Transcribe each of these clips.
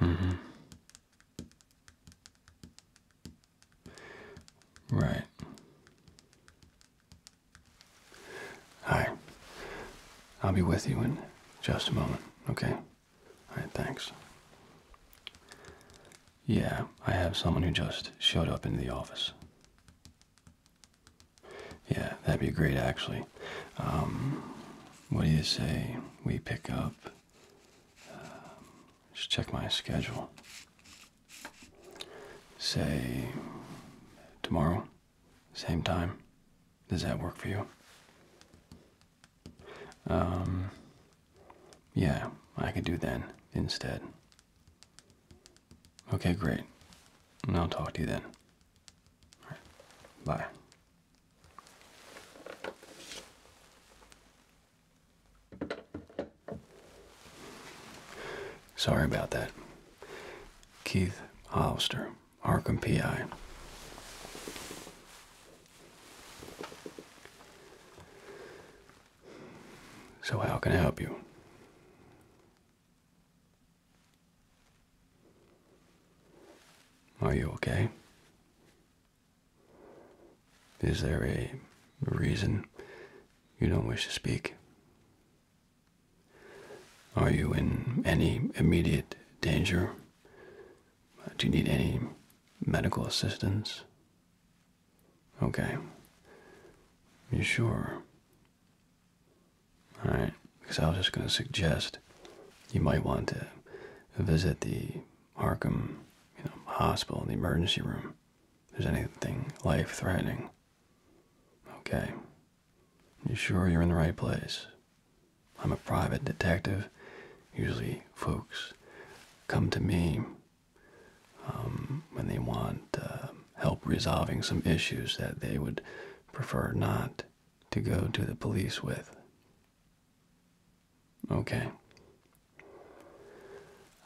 Mm-hmm. Right. Hi. I'll be with you in just a moment, okay? All right, thanks. Yeah, I have someone who just showed up in the office. Yeah, that'd be great actually. Um, what do you say we pick up? Um, just check my schedule. Say tomorrow, same time. Does that work for you? Um, yeah, I could do then instead. Okay, great. I'll talk to you then. Bye. Sorry about that. Keith Hollister, Arkham PI. So, how can I help you? Are you okay? Is there a reason you don't wish to speak? Are you in any immediate danger? Do you need any medical assistance? Okay. You sure all right, because I was just going to suggest you might want to visit the Arkham, you know, hospital, the emergency room. If there's anything life-threatening. Okay. You sure you're in the right place? I'm a private detective. Usually, folks come to me um, when they want uh, help resolving some issues that they would prefer not to go to the police with. Okay.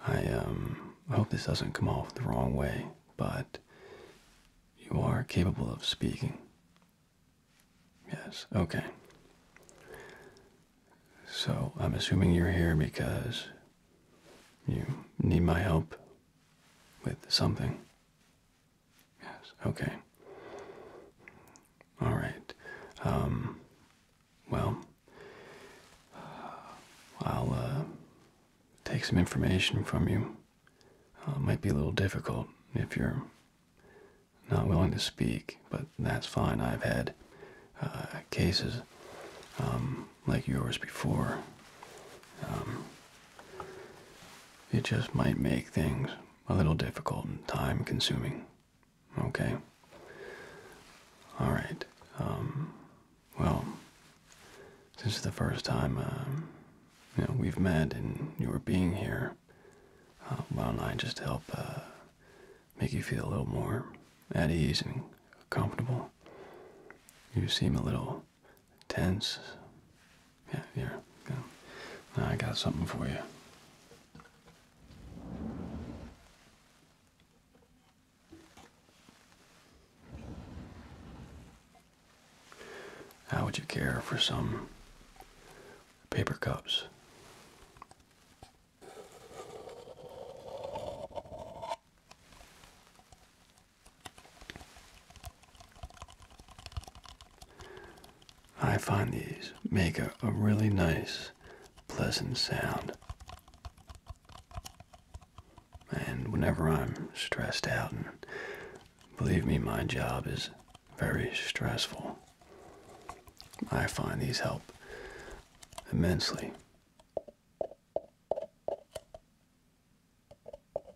I um hope this doesn't come off the wrong way, but you are capable of speaking. Yes, okay. So I'm assuming you're here because you need my help with something. Yes, okay. All right. Um, well, I'll uh, take some information from you. it uh, might be a little difficult if you're not willing to speak, but that's fine. I've had uh, cases um, like yours before. Um, it just might make things a little difficult and time consuming. Okay? Alright. Um, well, this is the first time um, you know, we've met and you're being here. Uh, why don't I just help uh, make you feel a little more at ease and comfortable? You seem a little tense. Yeah, here. I got something for you. How would you care for some paper cups? I find these make a, really nice, pleasant sound. And whenever I'm stressed out, and believe me, my job is very stressful, I find these help immensely.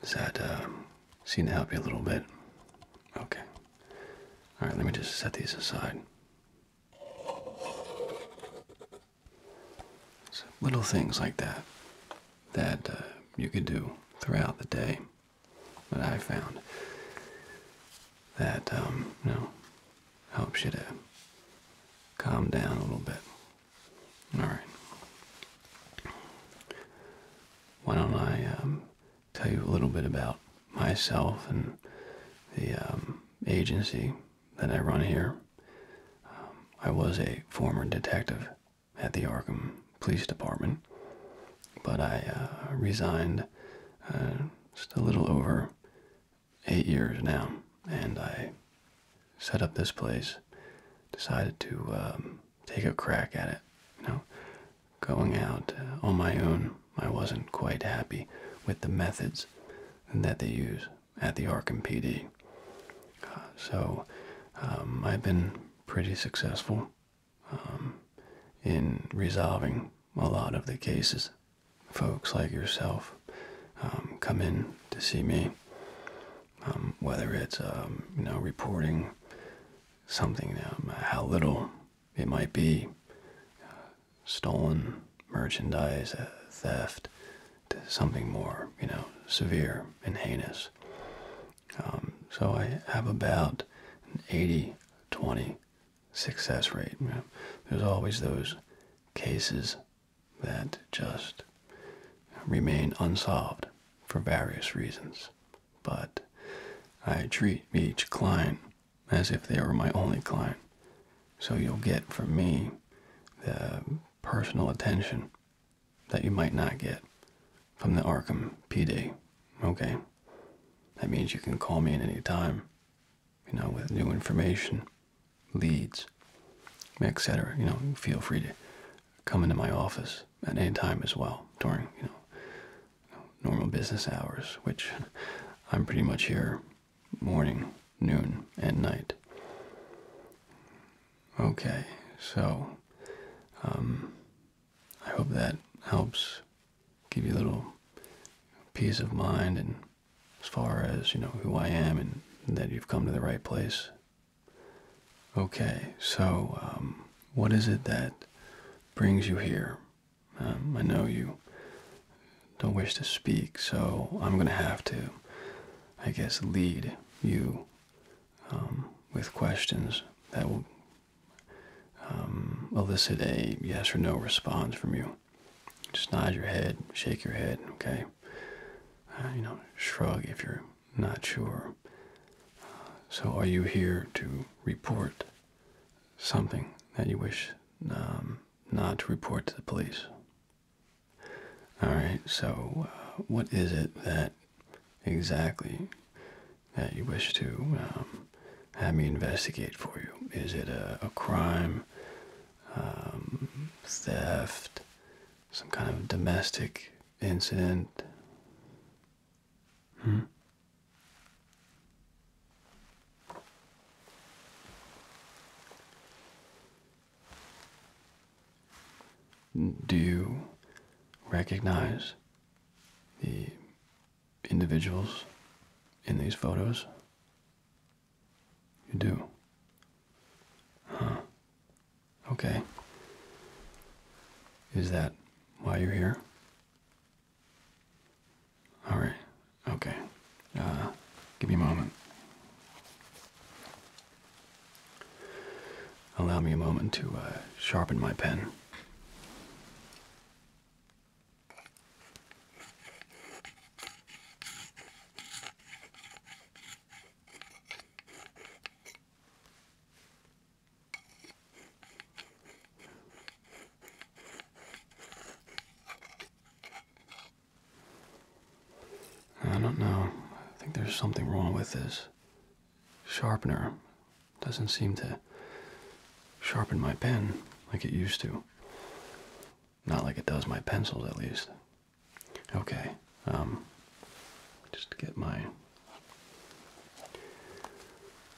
Does that um, seem to help you a little bit? Okay. All right, let me just set these aside. So little things like that that uh, you can do throughout the day. That I found that um, you know helps you to calm down a little bit. All right. Why don't I um, tell you a little bit about myself and the um, agency that I run here. Um, I was a former detective at the Arkham Police Department, but I uh, resigned uh, just a little over eight years now, and I set up this place. Decided to um, take a crack at it. You know, going out uh, on my own, I wasn't quite happy with the methods that they use at the Arkham PD. Uh, so um, I've been pretty successful um, in resolving a lot of the cases. Folks like yourself um, come in to see me, whether it's you know reporting something, how little it might be uh, stolen merchandise uh, theft to something more, you know, severe and heinous. Um, so I have about an 80 20 success rate. there's always those cases that just remain unsolved for various reasons. But I treat each client as if they were my only client. So you'll get from me the personal attention that you might not get from the Arkham PD. Okay? That means you can call me at any time, you know, with new information, leads, etc. You know, feel free to come into my office at any time as well during, you know, normal business hours, which I'm pretty much here morning, noon, and night. Okay, so um, I hope that helps give you a little peace of mind and as far as you know who I am and that you've come to the right place. Okay, so um, what is it that brings you here? Um, I know you don't wish to speak, so I'm going to have to I guess, lead you um, with questions that will um, elicit a yes or no response from you. Just nod your head, shake your head, okay? Uh, you know, shrug if you're not sure. so, are you here to report something that you wish um, not to report to the police? All right, so uh, what is it that exactly that you wish to um, have me investigate for you? Is it a, crime, um, theft, some kind of domestic incident? Hmm? Do you recognize the individuals in these photos? You do. Huh. Okay. Is that why you're here? All right. Okay. Uh, give me a moment. Allow me a moment to uh, sharpen my pen. I don't know. I think there's something wrong with this. Sharpener doesn't seem to sharpen my pen like it used to. Not like it does my pencils, at least. Okay, um, just get my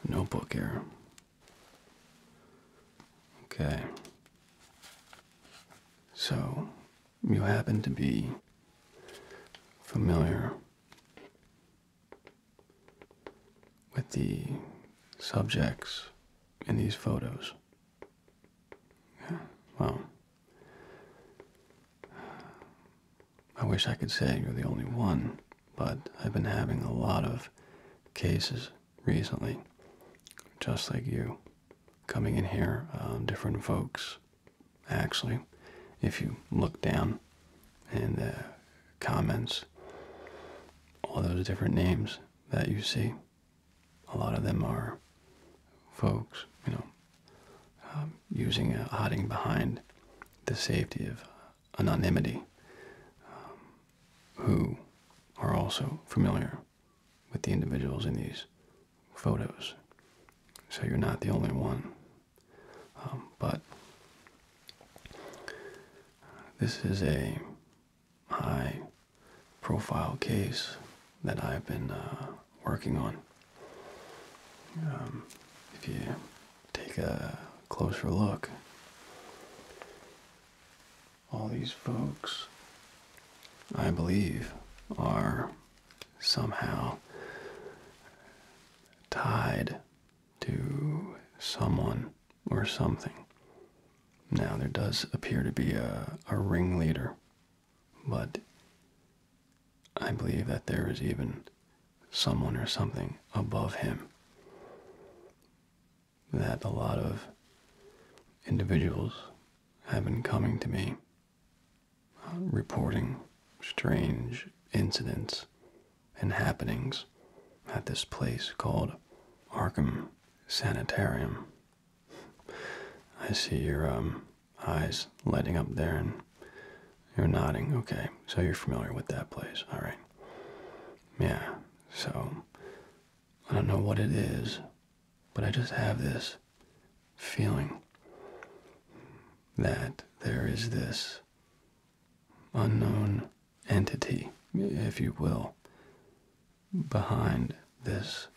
notebook here. Okay. So, you happen to be familiar with the subjects in these photos. well, I wish I could say you're the only one, but I've been having a lot of cases recently, just like you coming in here, um, different folks. Actually, if you look down in the comments, all those different names that you see, a lot of them are folks, you know, um, using uh, hiding behind the safety of anonymity, um, who are also familiar with the individuals in these photos. So you're not the only one. Um, but this is a high profile case that I've been uh, working on. Um, if you take a closer look, all these folks I believe, are somehow tied to someone or something. Now, there does appear to be a, a ringleader, but I believe that there is even someone or something above him that a lot of individuals have been coming to me um, reporting strange incidents and happenings at this place called Arkham Sanitarium. I see your um, eyes lighting up there and you're nodding. Okay, so you're familiar with that place. All right. Yeah, so I don't know what it is, but I just have this feeling that there is this unknown entity, if you will, behind this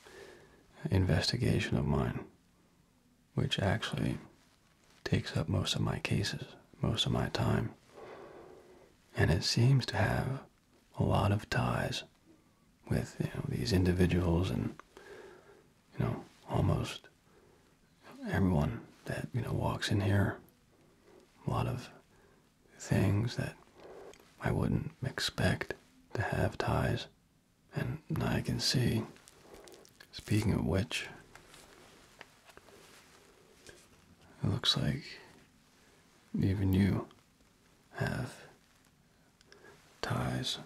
investigation of mine, which actually takes up most of my cases, most of my time. And it seems to have a lot of ties with you know these individuals and you know almost everyone that you know walks in here. A lot of things that I wouldn't expect to have ties, and I can see. Speaking of which, it looks like even you have ties.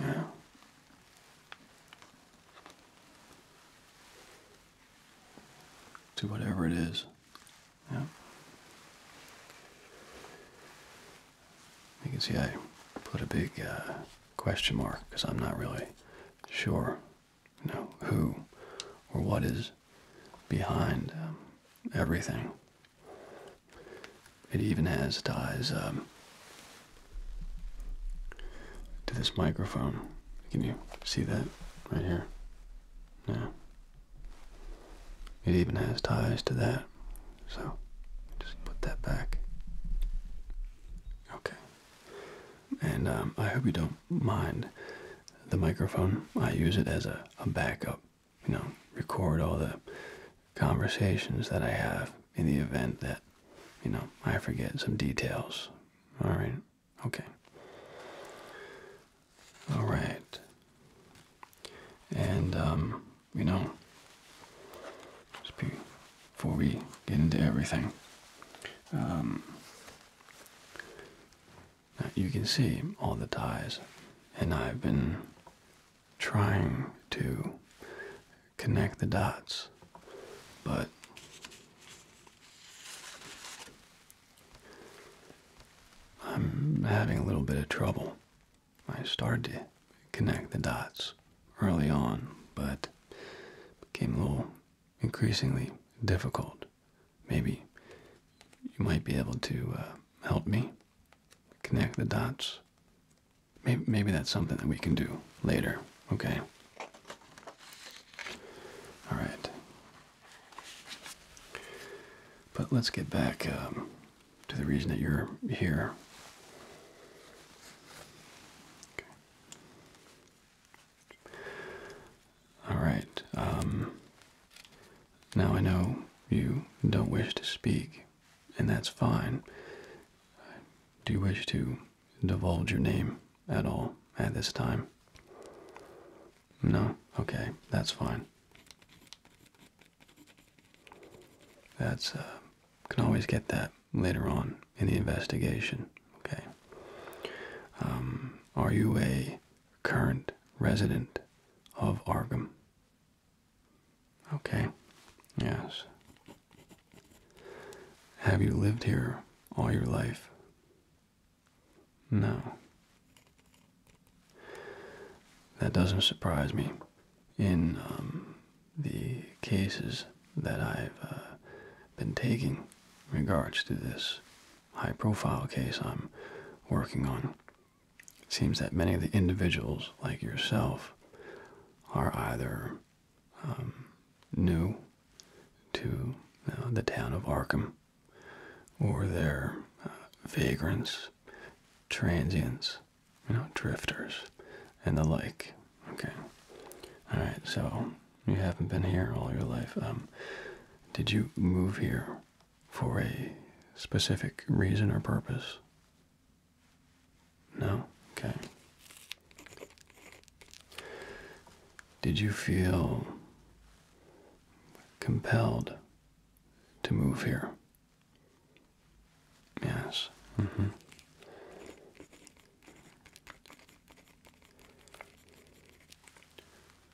Yeah. To whatever it is yeah. You can see I put a big uh, question mark because I'm not really sure, you know, who or what is behind um, everything. It even has ties um, to this microphone. Can you see that right here? Yeah. It even has ties to that. So just put that back. Okay. And um, I hope you don't mind the microphone. I use it as a backup, you know, record all the conversations that I have in the event that, you know, I forget some details. All right. Okay. All right. And, um, you know, before we get into everything, um, you can see all the ties, and I've been trying to connect the dots, but I'm having a little bit of trouble. I started to connect the dots early on, but became a little increasingly difficult. Maybe you might be able to uh, help me connect the dots. Maybe, that's something that we can do later, okay? All right. But let's get back um, to the reason that you're here. Okay. All right. Um, now I know you don't wish to speak, and that's fine. Do you wish to divulge your name at all at this time? No? Okay, that's fine. That's, uh, can always get that later on in the investigation, okay? Um, are you a current resident of Arkham? Okay, yes. Have you lived here all your life? No. That doesn't surprise me. In um, the cases that I've uh, been taking in regards to this high profile case I'm working on, it seems that many of the individuals like yourself are either um, new to uh, the town of Arkham or they're uh, vagrants transients, you know, drifters, and the like. Okay. All right. So you haven't been here all your life. Um, did you move here for a specific reason or purpose? No. Okay. Did you feel compelled to move here Yes. Mm -hmm.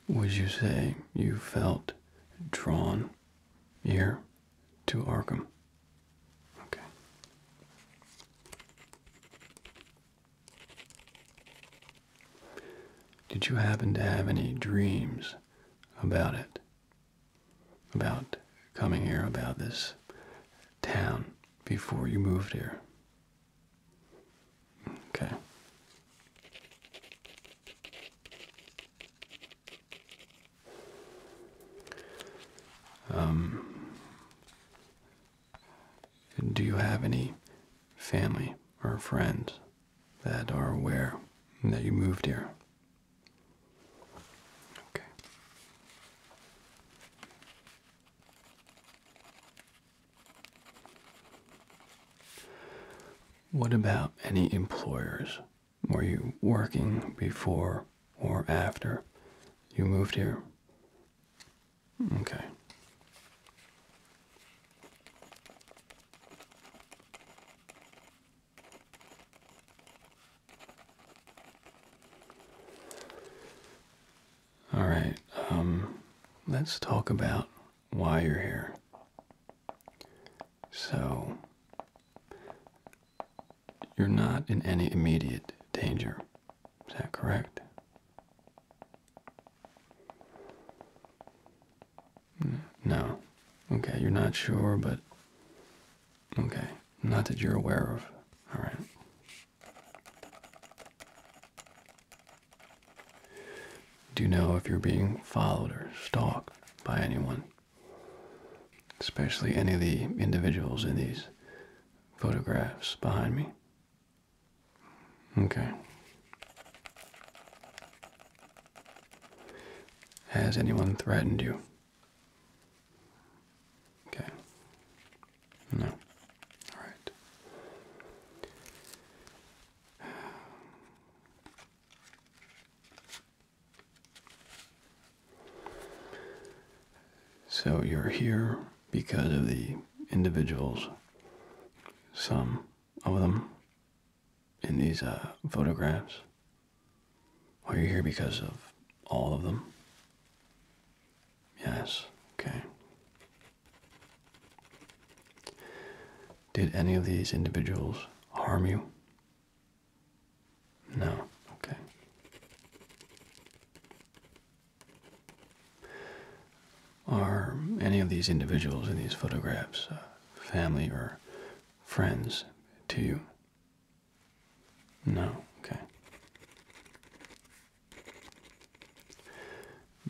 Would you say you felt drawn here to Arkham? Okay. Did you happen to have any dreams about it? about coming here, about this town before you moved here. Okay. Um, do you have any family or friends that are aware that you moved here. Okay. What about any employers? Were you working before or after you moved here? Okay. All right, um, let's talk about why you're here. So, you're not in any immediate danger. Is that correct? No. Okay, you're not sure, but. Okay, not that you're aware of. Alright. Do you know if you're being followed or stalked by anyone? Especially any of the individuals in these photographs behind me? Okay. Has anyone threatened you? Okay. No. All right. So you're here because of the individuals, some of them in these uh, photographs? Are you here because of all of them? Yes, okay. Did any of these individuals harm you? No, okay. Are any of these individuals in these photographs uh, family or friends to you? No, okay.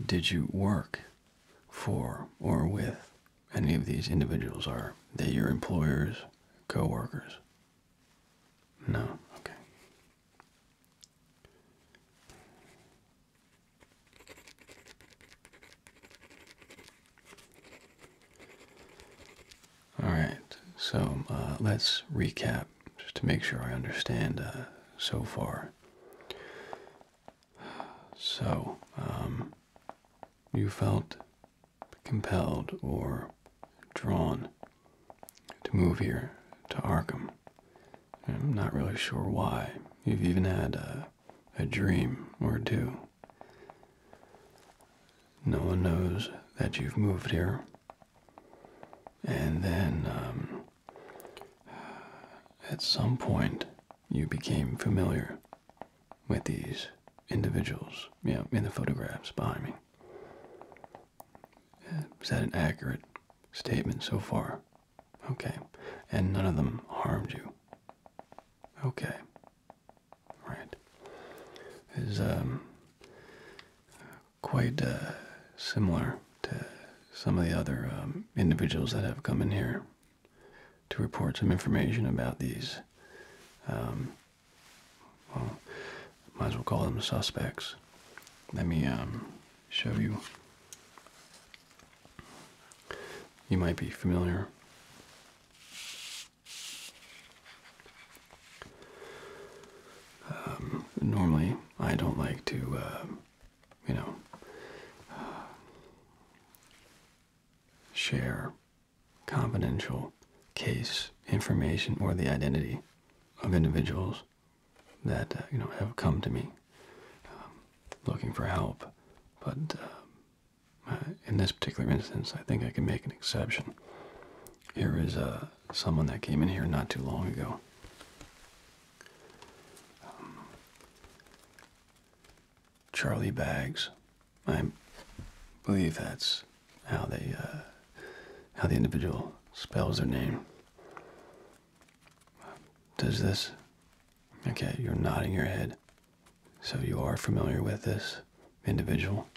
Did you work for or with any of these individuals? Are they your employers, co workers? No, okay. All right, so uh, let's recap just to make sure I understand uh, so far. So, um, you felt compelled or drawn to move here to Arkham. I'm not really sure why. You've even had uh, a dream or two no one knows that you've moved here. And then, um, at some point, you became familiar with these individuals, you in the photographs behind me. Is that an accurate statement so far? Okay. And none of them harmed you. Okay right, is um, quite uh, similar to some of the other um, individuals that have come in here to report some information about these. Um, well, might as well call them suspects. Let me um, show you. You might be familiar um, normally, I don't like to, uh, you know, uh, share confidential case information or the identity of individuals that uh, you know have come to me um, looking for help, but um, uh, in this particular instance, I think I can make an exception. Here is uh, someone that came in here not too long ago. Um, Charlie Bags. I believe that's how they, uh, how the individual spells their name. Does this? Okay, you're nodding your head. So you are familiar with this individual?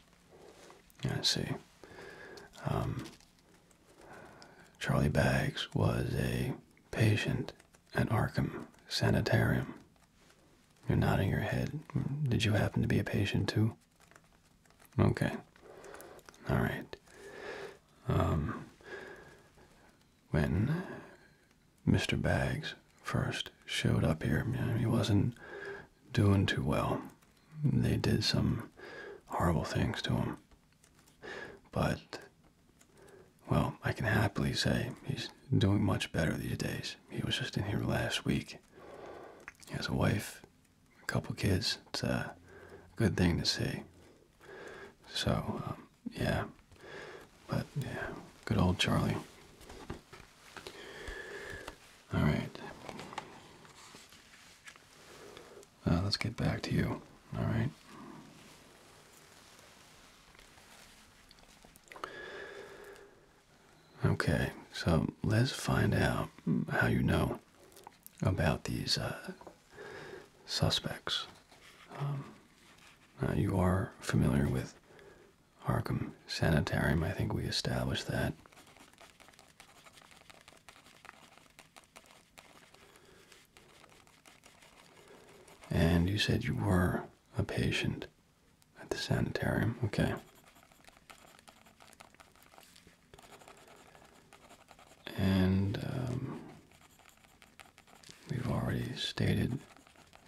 I see. Um, Charlie Baggs was a patient at Arkham Sanitarium. You're nodding your head. Did you happen to be a patient too? Okay. All right. Um, when Mr. Bags first showed up here. He wasn't doing too well. They did some horrible things to him. But, well, I can happily say he's doing much better these days. He was just in here last week. He has a wife, a couple kids. It's a good thing to see. So, um, yeah. But yeah, good old Charlie. All right. Uh, let's get back to you. All right. Okay, so let's find out how you know about these uh, suspects. Um, uh, you are familiar with Harkham Sanitarium. I think we established that. And you said you were a patient at the sanitarium. Okay. And um, we've already stated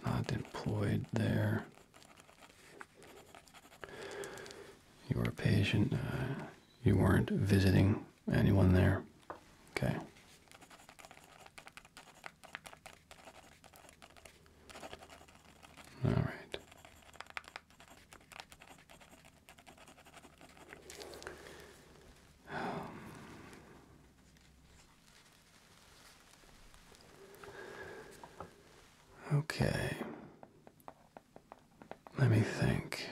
not employed there. You were a patient. Uh, you weren't visiting anyone there. Okay. All right. Um, Okay. Let me think.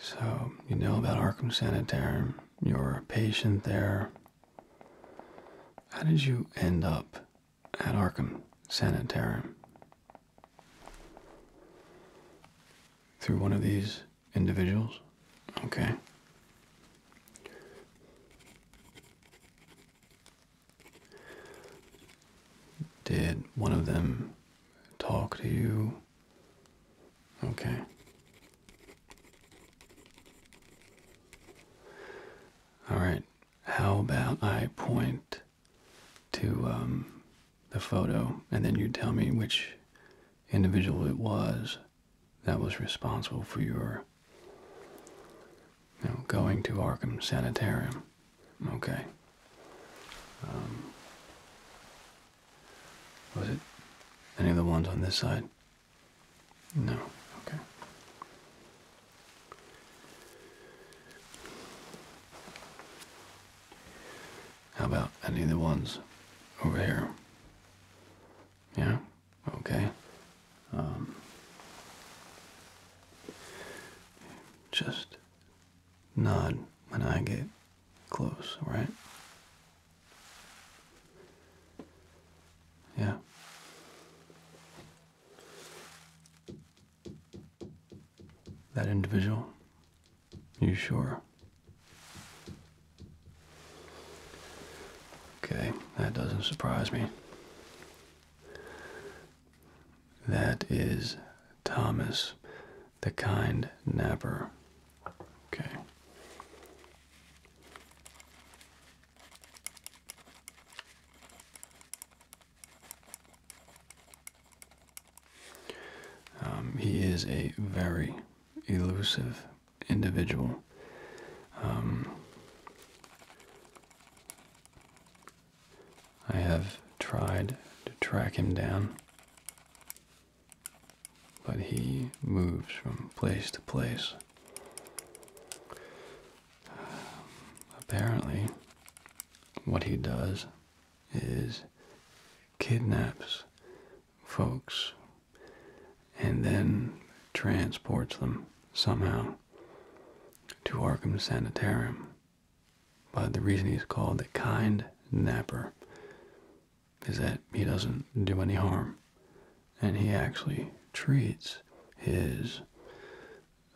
So, you know about Arkham Sanitarium, you're a patient there. How did you end up at Arkham Sanitarium? Through one of these individuals? Okay. Did one of them talk to you? Okay. All right. How about I point to um, the photo and then you tell me which individual it was? that was responsible for your you going to Arkham Sanitarium. Okay. Um, was it any of the ones on this side? No. Okay. How about any of the ones over here? Yeah? Okay. Um, just nod when I get close, right? Yeah. That individual? You sure? Okay, that doesn't surprise me. That is Thomas, the kind napper. Okay. Um, he is a very elusive individual. Um, I have tried to track him down, but he moves from place to place. Um, apparently, what he does is kidnaps folks and then transports them somehow to Arkham Sanitarium. But the reason he's called the kind napper is that he doesn't do any harm. And he actually treats his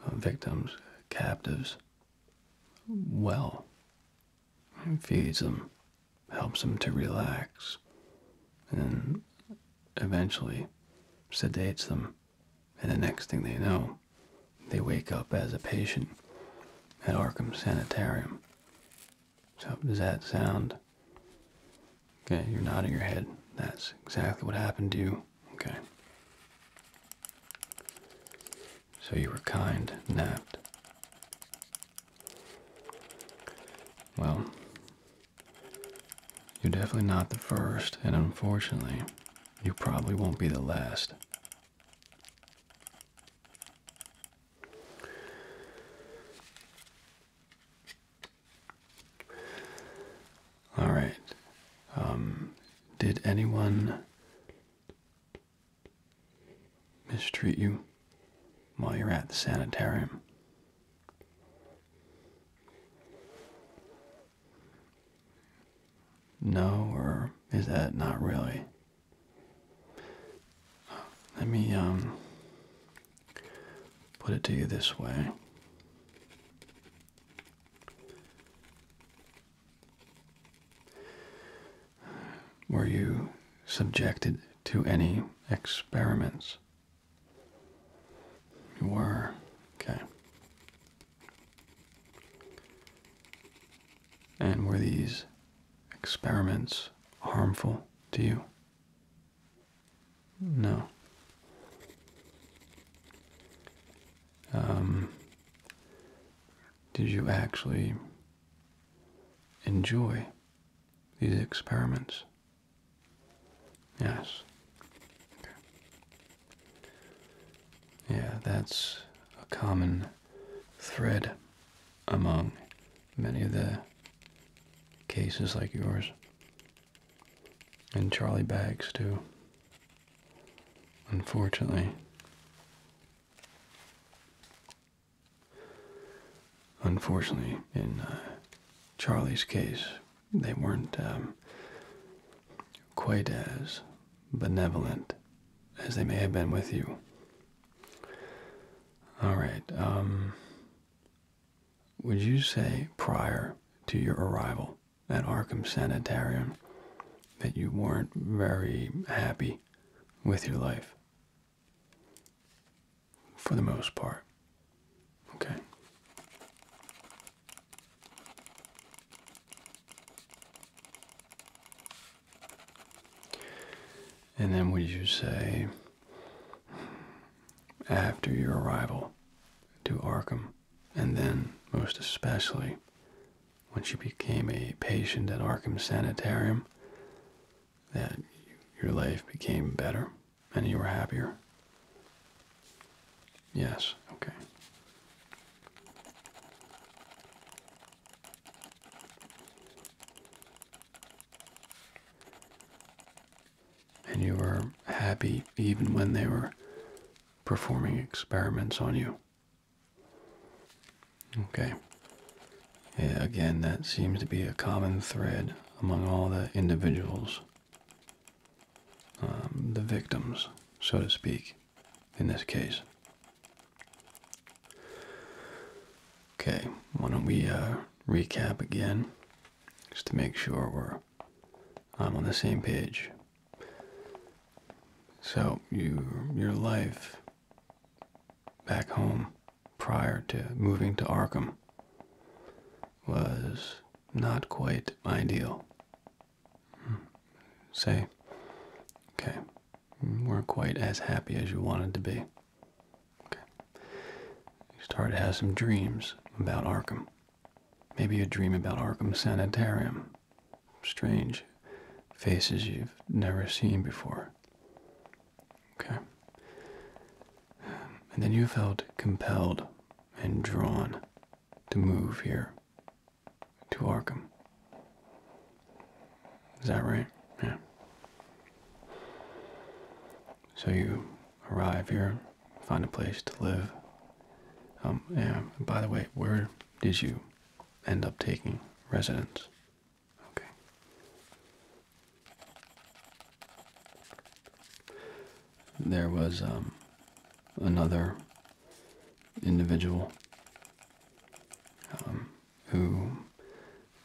uh, victims, captives, well. feeds them helps them to relax and eventually sedates them. And the next thing they know, they wake up as a patient at Arkham Sanitarium. So, does that sound? Okay, you're nodding your head. That's exactly what happened to you. Okay. So you were kind, napped. Well, you're definitely not the first, and unfortunately, you probably won't be the last. All right. Um, did anyone mistreat you? while you're at the sanitarium. No, or is that not really? Let me, um, put it to you this way. Were you subjected to any experiments? You were. Okay. And were these experiments harmful to you? No. Um, did you actually enjoy these experiments? Yes. Yeah, that's a common thread among many of the cases like yours. And Charlie Bags, too. Unfortunately. Unfortunately, in uh, Charlie's case, they weren't um, quite as benevolent as they may have been with you. All right. Um, would you say prior to your arrival at Arkham Sanitarium that you weren't very happy with your life? for the most part. Okay. And then would you say after your arrival to Arkham and then most especially when she became a patient at Arkham Sanitarium that your life became better and you were happier? Yes, okay. And you were happy even when they were performing experiments on you. Okay. Yeah, again, that seems to be a common thread among all the individuals, um, the victims, so to speak, in this case. Okay, why don't we uh, recap again, just to make sure we're I'm um, on the same page. So you, your life back home prior to moving to Arkham was not quite ideal. Hmm. Say, okay, weren't quite as happy as you wanted to be. Okay. You started to have some dreams about Arkham. Maybe a dream about Arkham Sanitarium. Strange faces you've never seen before. Okay. Um, and then you felt compelled and drawn to move here to Arkham. Is that right? Yeah. So you arrive here, find a place to live. Um, and by the way, where did you end up taking residence? Okay. There was um another individual um, who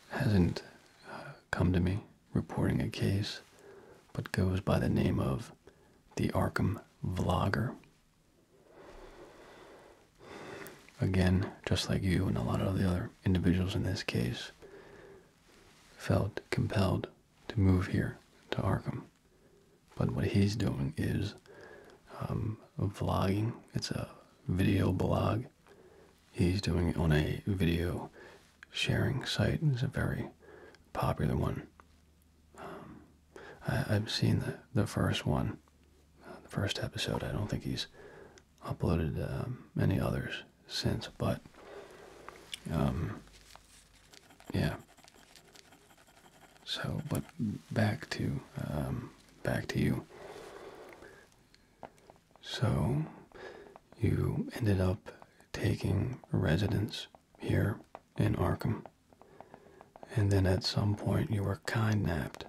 hasn't uh, come to me reporting a case, but goes by the name of the Arkham Vlogger. Again, just like you and a lot of the other individuals in this case, felt compelled to move here to Arkham. But what he's doing is um, vlogging. It's a video blog. He's doing it on a video sharing site. It's a very popular one. Um, I, have seen the, the first one, uh, the first episode. I don't think he's uploaded um, many others since, but um, yeah. So, but back to um, back to you. So, you ended up taking residence here in Arkham, and then at some point you were kidnapped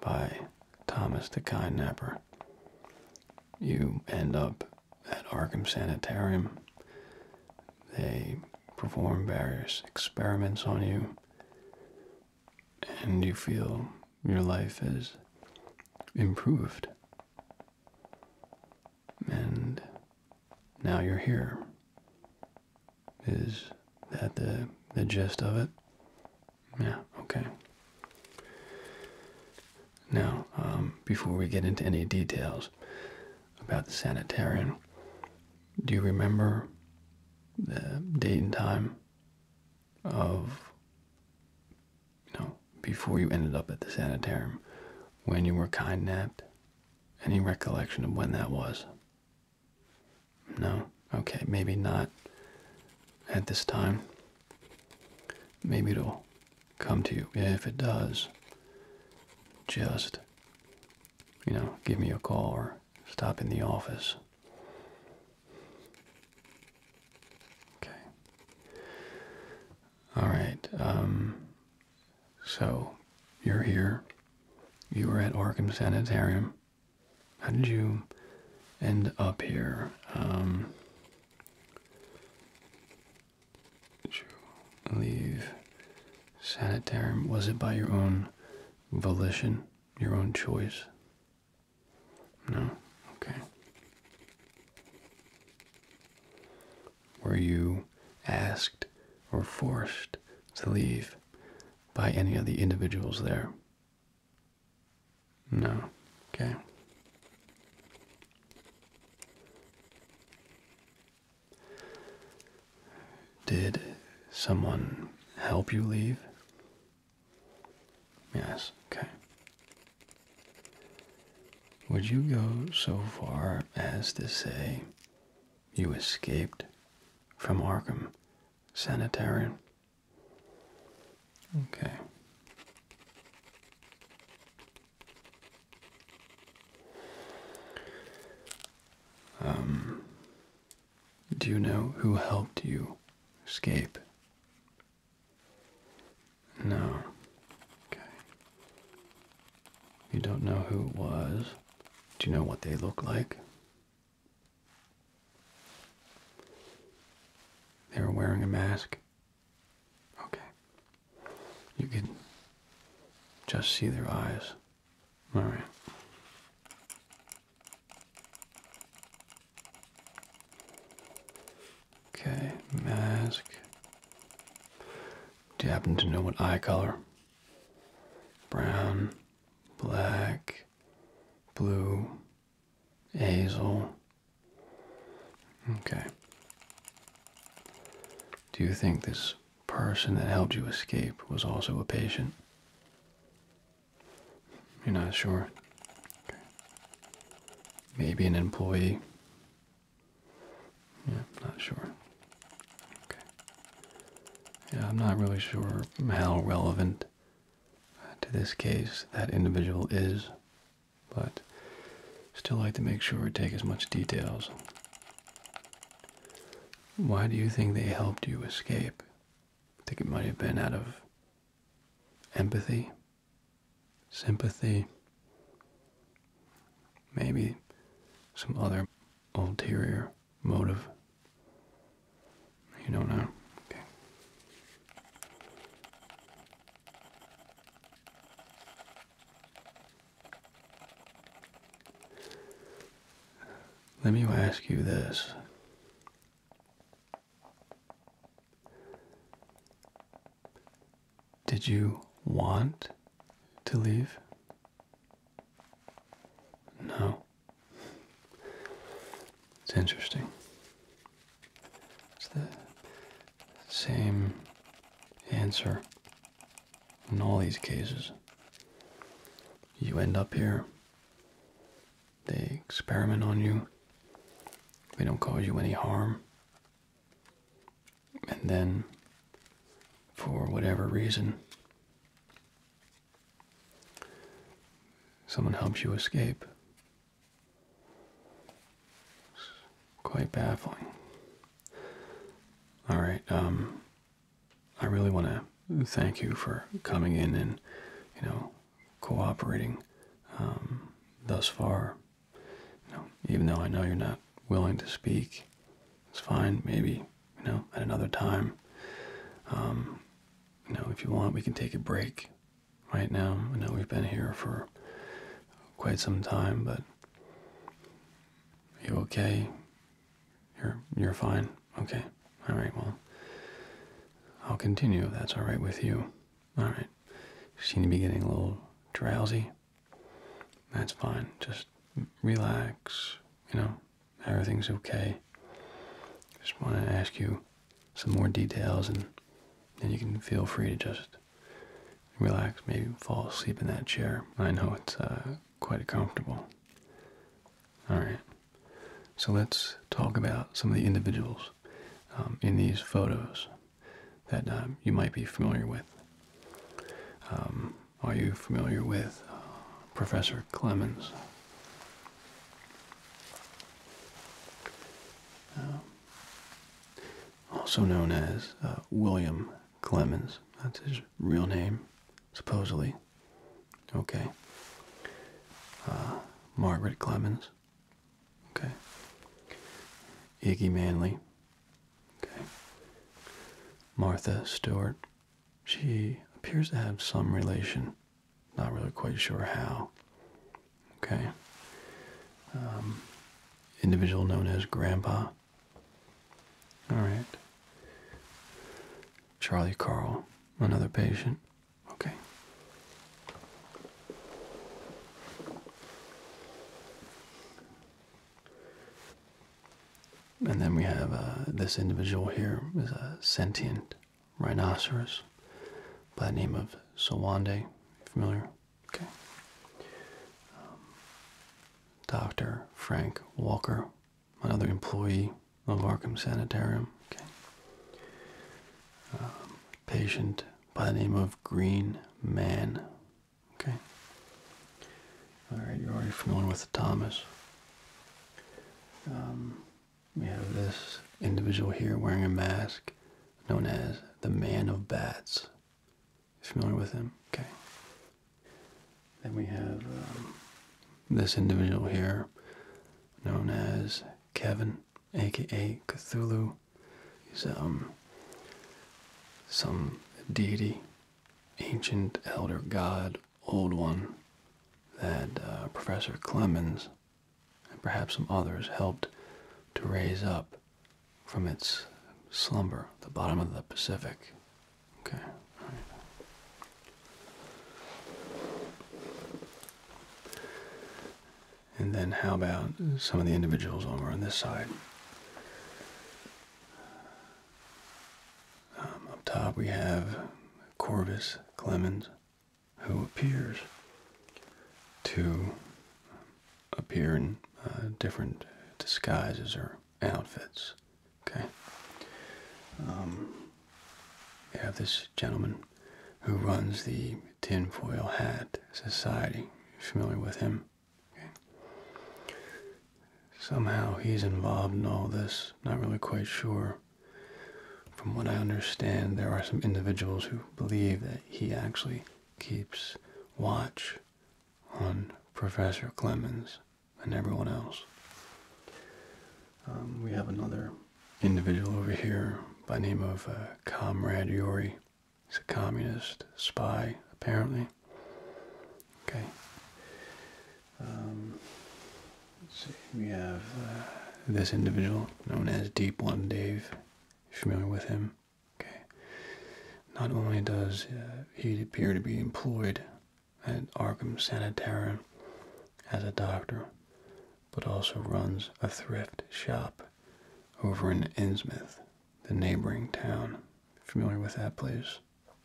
by Thomas the Kidnapper you end up at Arkham Sanitarium. They perform various experiments on you, and you feel your life is improved. And now you're here. Is that the, the gist of it? Yeah, okay. Now, um, before we get into any details about the sanitarium, do you remember the date and time of, you know, before you ended up at the sanitarium, when you were kidnapped? Any recollection of when that was? No? Okay, maybe not at this time. Maybe it'll come to you. If it does, just, you know, give me a call or stop in the office. Okay. All right. Um, so, you're here. You were at Arkham Sanitarium. How did you end up here? Um, did you leave sanitarium? Was it by your own volition, your own choice? No? Okay. Were you asked or forced to leave by any of the individuals there? No. Okay. Did someone help you leave? Yes, okay. Would you go so far as to say you escaped from Arkham Sanitarium? Okay. Um, do you know who helped you escape? No. Okay. You don't know who it was. Do you know what they look like? They were wearing a mask. Okay. You can just see their eyes. All right. Okay, mask. Do you happen to know what eye color? Brown, black, blue, Hazel. Okay. Do you think this person that helped you escape was also a patient? You're not sure? Maybe an employee? Yeah, not sure. Okay. Yeah, I'm not really sure how relevant uh, to this case that individual is, but still like to make sure we take as much details. Why do you think they helped you escape? I think it might have been out of empathy, sympathy, maybe some other ulterior motive. You don't know? Okay. Let me ask you this. Did you want to leave? No. It's interesting. It's the same answer in all these cases. You end up here, they experiment on you, they don't cause you any harm, and then, for whatever reason, someone helps you escape Quite baffling. All right, um, I really want to thank you for coming in and, you know, cooperating um, thus far. You know, even though I know you're not willing to speak, it's fine. Maybe, you know, at another time. Um, you know, if you want, we can take a break right now. I know we've been here for quite some time, but you okay? You're you're fine. Okay. All right. Well, I'll continue that's all right with you. All right. seem to be getting a little drowsy. That's fine. Just relax. You know, everything's okay. Just want to ask you some more details and then you can feel free to just relax, maybe fall asleep in that chair. I know it's uh, quite comfortable. Alright, so let's talk about some of the individuals um, in these photos that uh, you might be familiar with. Um, are you familiar with uh, Professor Clemens? Um, also known as uh, William Clemens. That's his real name, supposedly. Okay. Uh, Margaret Clemens. Okay. Iggy Manley. Okay. Martha Stewart. She appears to have some relation not really quite sure how. Okay. Um, individual known as Grandpa. All right. Charlie Carl, another patient. Okay. And then we have uh, this individual here is a sentient rhinoceros by the name of Sawande. Familiar? Okay. Um, Dr. Frank Walker, another employee of Arkham Sanitarium. Okay. Um, patient by the name of Green Man. Okay. All right, you're already familiar with Thomas. Um, we have this individual here wearing a mask known as the Man of Bats. familiar with him? Okay. Then we have um, this individual here known as Kevin, aka Cthulhu. He's um, some deity, ancient elder god, old one, that uh, Professor Clemens and perhaps some others helped to raise up from its slumber the bottom of the Pacific. Okay. All right. And then how about some of the individuals over on this side? Um, up top we have Corvis Clemens, who appears to appear in uh, different disguises or outfits. Okay. Um, have this gentleman who runs the Tinfoil Hat Society. You're familiar with him? Okay. Somehow he's involved in all this. Not really quite sure from what I understand, there are some individuals who believe that he actually keeps watch on Professor Clemens and everyone else. Um, we have another individual over here by name of uh, Comrade Yuri. He's a communist spy, apparently. Okay. Um, let's see. We have uh, this individual known as Deep One Dave familiar with him? Okay. Not only does uh, he appear to be employed at Arkham Sanitarium as a doctor, but also runs a thrift shop over in Innsmouth, the neighboring town. Familiar with that place?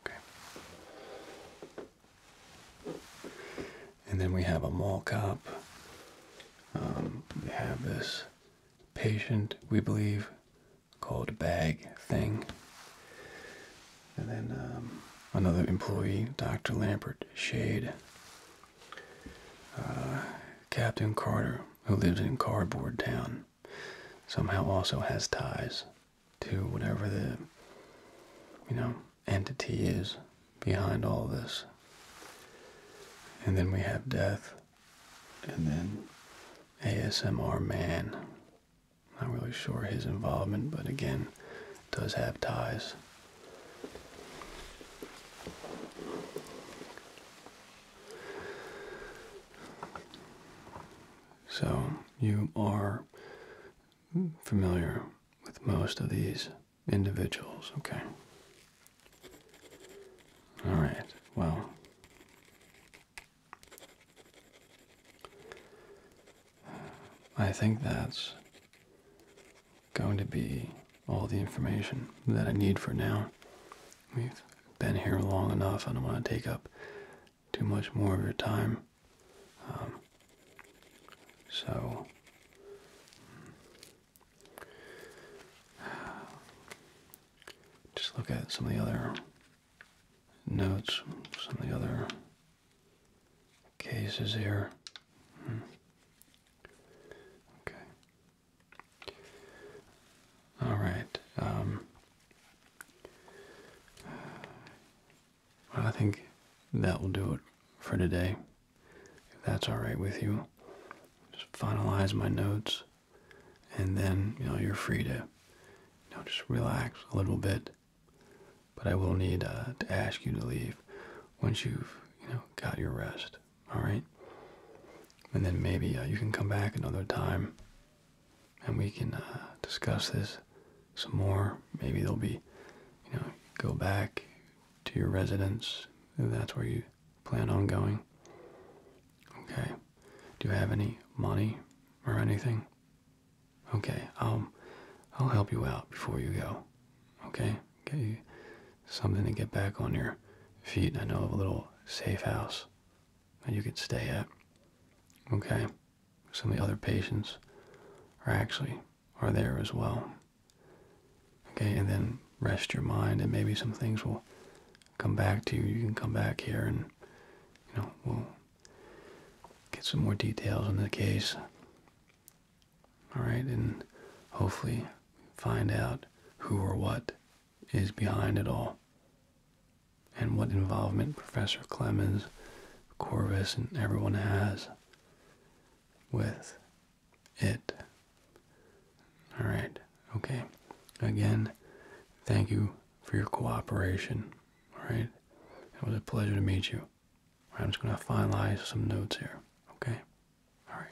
Okay and then we have a mall cop. Um, we have this patient, we believe, called Bag Thing. And then um, another employee, Dr. Lampert Shade. Uh, Captain Carter, who lives in Cardboard Town, somehow also has ties to whatever the, you know, entity is behind all this. And then we have death. And then ASMR man. Not really sure his involvement, but again, does have ties. So you are familiar with most of these individuals. Okay. All right. Well, I think that's going to be all the information that I need for now. We've been here long enough. I don't want to take up too much more of your time. Um, so Just look at some of the other notes, some of the other cases here. Hmm. Okay. All right. Um, I think that will do it for today if that's all right with you. Just finalize my notes, and then you know you're free to, you know, just relax a little bit. But I will need uh, to ask you to leave once you've you know got your rest. All right, and then maybe uh, you can come back another time, and we can uh, discuss this some more. Maybe there'll be, you know, go back to your residence that's where you plan on going. Okay. Do you have any money or anything? Okay, I'll I'll help you out before you go. Okay? Get you something to get back on your feet. I know of a little safe house that you could stay at. Okay. Some of the other patients are actually are there as well. Okay, and then rest your mind, and maybe some things will come back to you. You can come back here, and you know we'll get some more details on the case. All right, and hopefully find out who or what is behind it all, and what involvement Professor Clemens, Corvus, and everyone has with it. All right. Okay. Again, thank you for your cooperation. All right. It was a pleasure to meet you. I'm just going to finalize some notes here. Okay. All right.